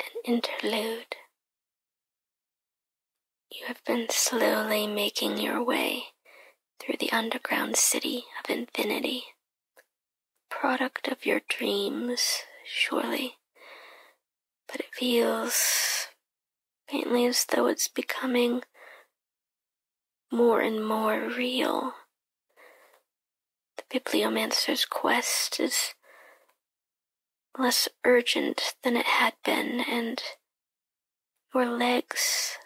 an interlude. You have been slowly making your way through the underground city of infinity, product of your dreams, surely, but it feels faintly as though it's becoming more and more real. The bibliomancer's quest is less urgent than it had been, and your legs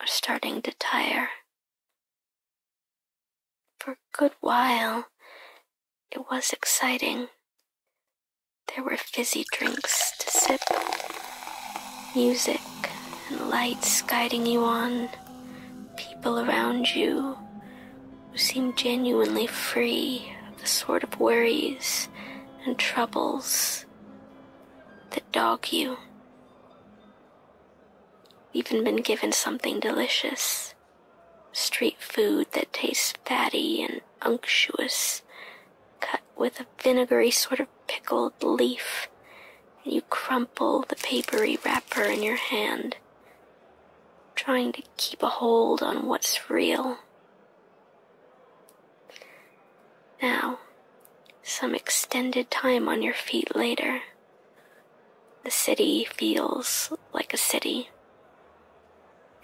are starting to tire. For a good while, it was exciting. There were fizzy drinks to sip, music and lights guiding you on, people around you, who seem genuinely free of the sort of worries and troubles that dog you. Even been given something delicious street food that tastes fatty and unctuous, cut with a vinegary sort of pickled leaf, and you crumple the papery wrapper in your hand trying to keep a hold on what's real. Now, some extended time on your feet later, the city feels like a city.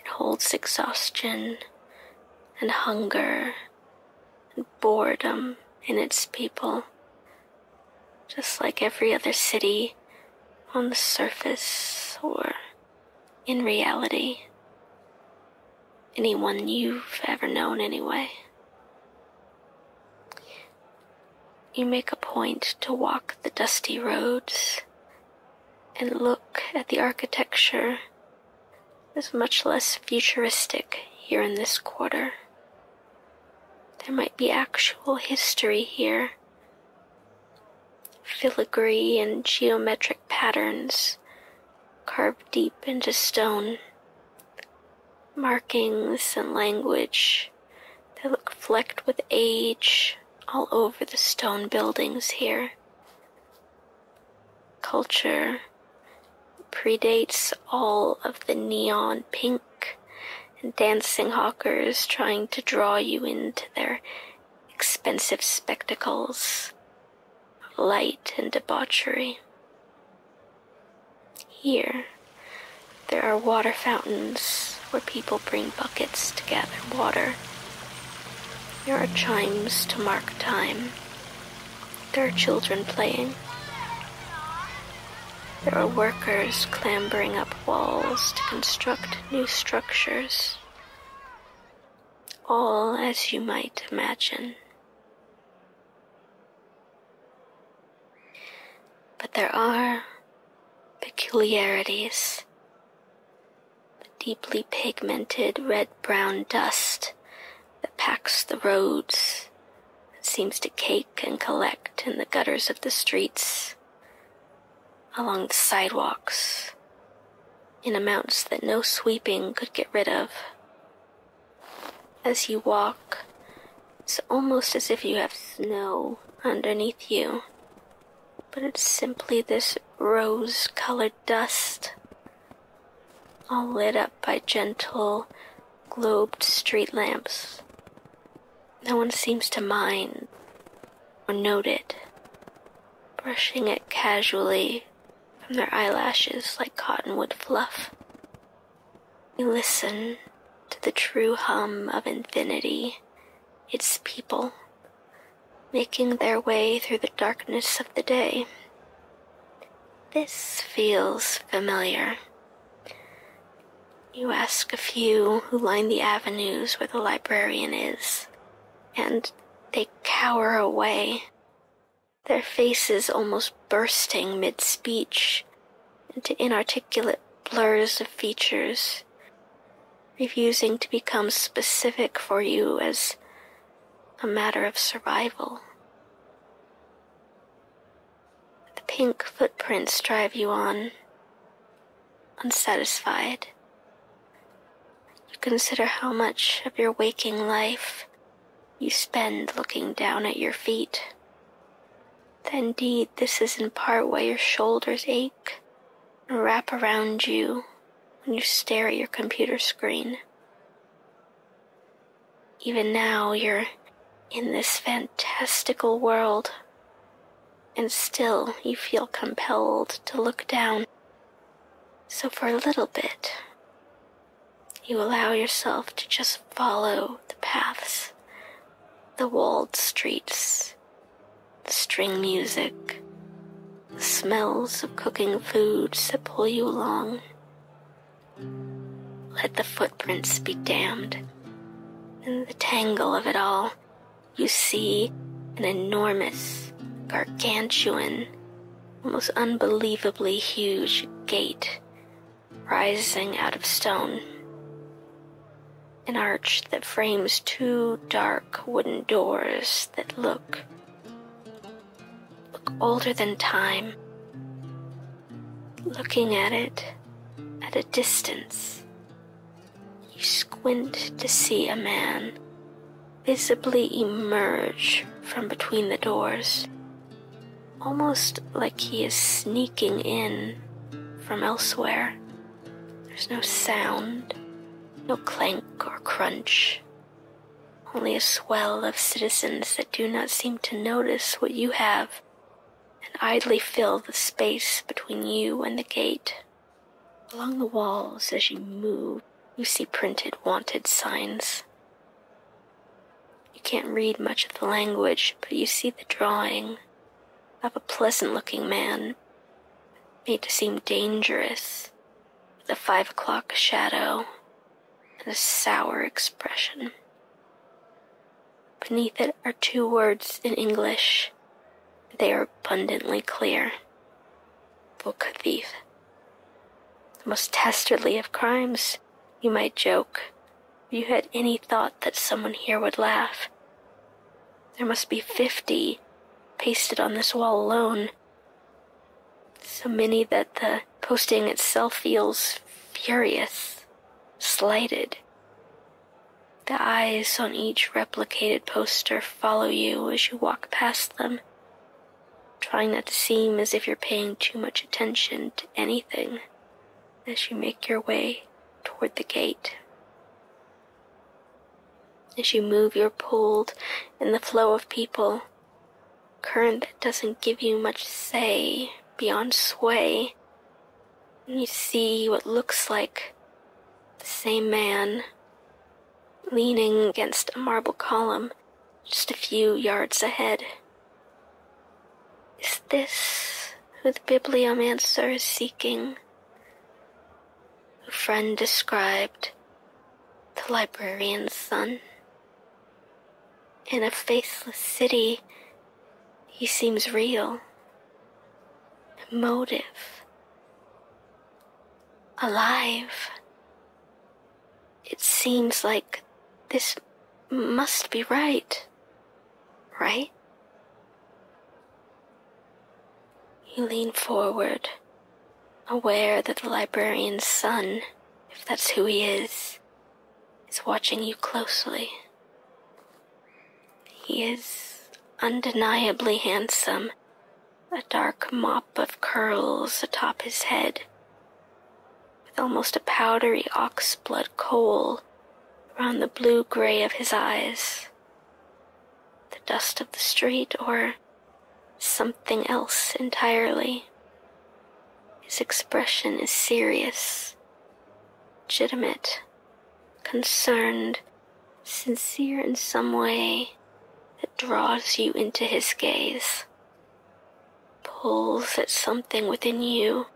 It holds exhaustion and hunger and boredom in its people just like every other city on the surface or in reality. Anyone you've ever known, anyway. You make a point to walk the dusty roads and look at the architecture as much less futuristic here in this quarter there might be actual history here. Filigree and geometric patterns carved deep into stone. Markings and language that look flecked with age all over the stone buildings here. Culture predates all of the neon pink and dancing hawkers trying to draw you into their expensive spectacles of light and debauchery. Here, there are water fountains where people bring buckets to gather water. There are chimes to mark time. There are children playing. There are workers clambering up walls to construct new structures. All as you might imagine. But there are peculiarities. The deeply pigmented red brown dust that packs the roads that seems to cake and collect in the gutters of the streets, along the sidewalks, in amounts that no sweeping could get rid of. As you walk, it's almost as if you have snow underneath you, but it's simply this rose colored dust, all lit up by gentle, globed street lamps no one seems to mind or note it, brushing it casually from their eyelashes like cottonwood fluff. We listen to the true hum of infinity, its people, making their way through the darkness of the day. This feels familiar. You ask a few who line the avenues where the librarian is, and they cower away, their faces almost bursting mid speech into inarticulate blurs of features, refusing to become specific for you as a matter of survival. The pink footprints drive you on, unsatisfied. You consider how much of your waking life you spend looking down at your feet. That indeed, this is in part why your shoulders ache and wrap around you when you stare at your computer screen. Even now, you're in this fantastical world, and still you feel compelled to look down. So, for a little bit, you allow yourself to just follow the paths, the walled streets, the string music, the smells of cooking foods that pull you along, let the footprints be damned. In the tangle of it all, you see an enormous, gargantuan, almost unbelievably huge gate rising out of stone. An arch that frames two dark wooden doors that look, look older than time, looking at it at a distance. You squint to see a man visibly emerge from between the doors, almost like he is sneaking in from elsewhere. There's no sound, no clank or crunch, only a swell of citizens that do not seem to notice what you have and idly fill the space between you and the gate. Along the walls, as you move, you see printed wanted signs. You can't read much of the language, but you see the drawing of a pleasant looking man, made to seem dangerous, with a five o'clock shadow and a sour expression. Beneath it are two words in English. They are abundantly clear. Book thief. The most dastardly of crimes, you might joke. If you had any thought that someone here would laugh. There must be fifty pasted on this wall alone. So many that the posting itself feels furious, slighted. The eyes on each replicated poster follow you as you walk past them, trying not to seem as if you're paying too much attention to anything as you make your way toward the gate. As you move, you're pulled in the flow of people current that doesn't give you much say beyond sway. And you see what looks like the same man leaning against a marble column just a few yards ahead. Is this who the bibliomancer is seeking? Who friend described the librarian's son? In a faceless city, he seems real, Motive, alive. It seems like this must be right, right? You lean forward, aware that the librarian's son, if that's who he is, is watching you closely. He is undeniably handsome, a dark mop of curls atop his head, with almost a powdery ox-blood coal around the blue gray of his eyes. The dust of the street, or something else entirely. His expression is serious, legitimate, concerned, sincere in some way that draws you into his gaze, pulls at something within you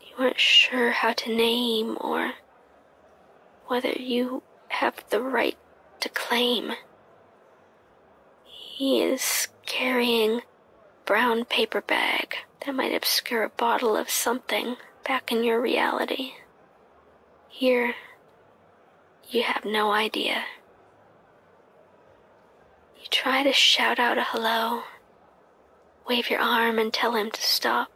you aren't sure how to name or whether you have the right to claim. He is carrying brown paper bag that might obscure a bottle of something back in your reality. Here, you have no idea. You try to shout out a hello, wave your arm and tell him to stop.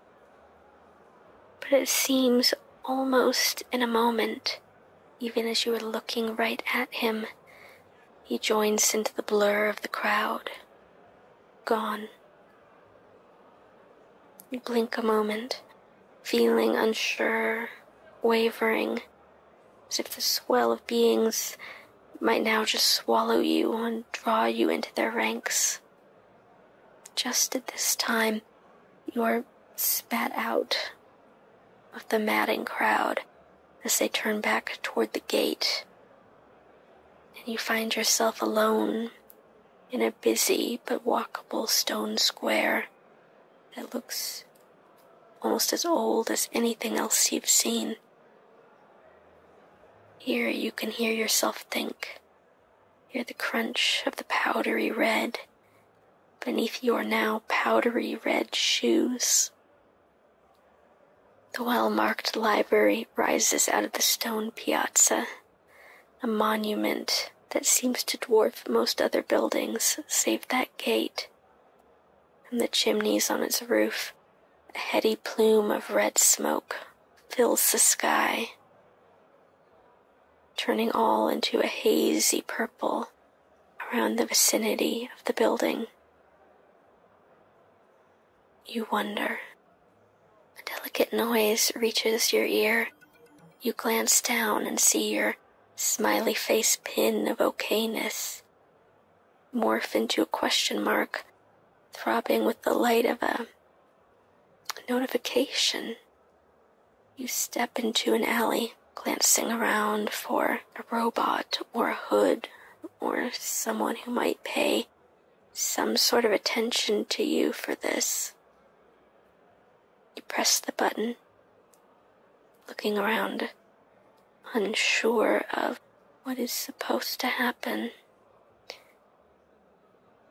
But it seems almost in a moment even as you are looking right at him, he joins into the blur of the crowd. Gone. You blink a moment, feeling unsure, wavering, as if the swell of beings might now just swallow you and draw you into their ranks. Just at this time, you are spat out of the madding crowd as they turn back toward the gate. And you find yourself alone in a busy but walkable stone square that looks almost as old as anything else you've seen. Here you can hear yourself think, hear the crunch of the powdery red beneath your now powdery red shoes. The well marked library rises out of the stone piazza, a monument that seems to dwarf most other buildings save that gate and the chimneys on its roof. A heady plume of red smoke fills the sky, turning all into a hazy purple around the vicinity of the building. You wonder. A delicate noise reaches your ear. You glance down and see your smiley face pin of okayness morph into a question mark, throbbing with the light of a notification. You step into an alley, glancing around for a robot or a hood or someone who might pay some sort of attention to you for this. You press the button, looking around, unsure of what is supposed to happen.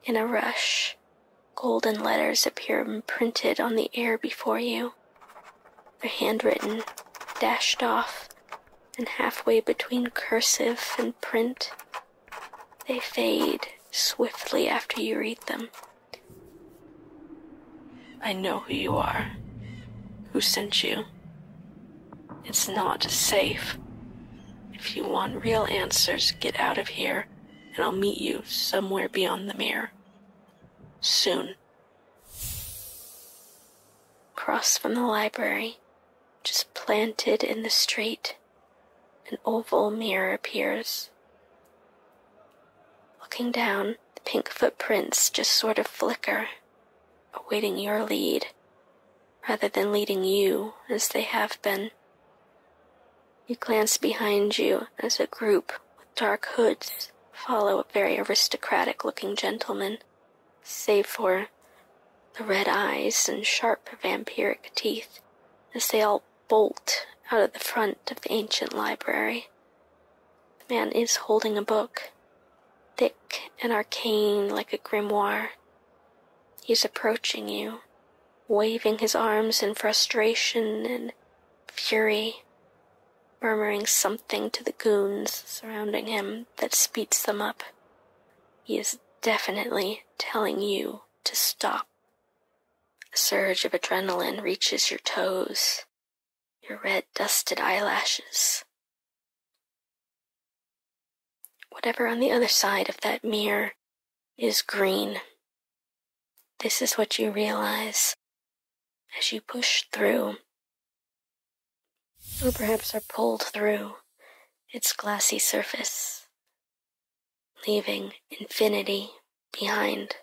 In a rush, Golden letters appear imprinted on the air before you. They're handwritten, dashed off, and halfway between cursive and print. They fade swiftly after you read them. I know who you are, who sent you. It's not safe. If you want real answers, get out of here, and I'll meet you somewhere beyond the mirror. Soon. Across from the library, just planted in the street, an oval mirror appears. Looking down, the pink footprints just sort of flicker, awaiting your lead, rather than leading you as they have been. You glance behind you as a group with dark hoods follow a very aristocratic looking gentleman, save for the red eyes and sharp vampiric teeth as they all bolt out of the front of the ancient library. The man is holding a book, thick and arcane like a grimoire. He's approaching you, waving his arms in frustration and fury, murmuring something to the goons surrounding him that speeds them up. He is definitely telling you to stop. A surge of adrenaline reaches your toes, your red dusted eyelashes. Whatever on the other side of that mirror is green. This is what you realize as you push through, or perhaps are pulled through its glassy surface, leaving infinity behind.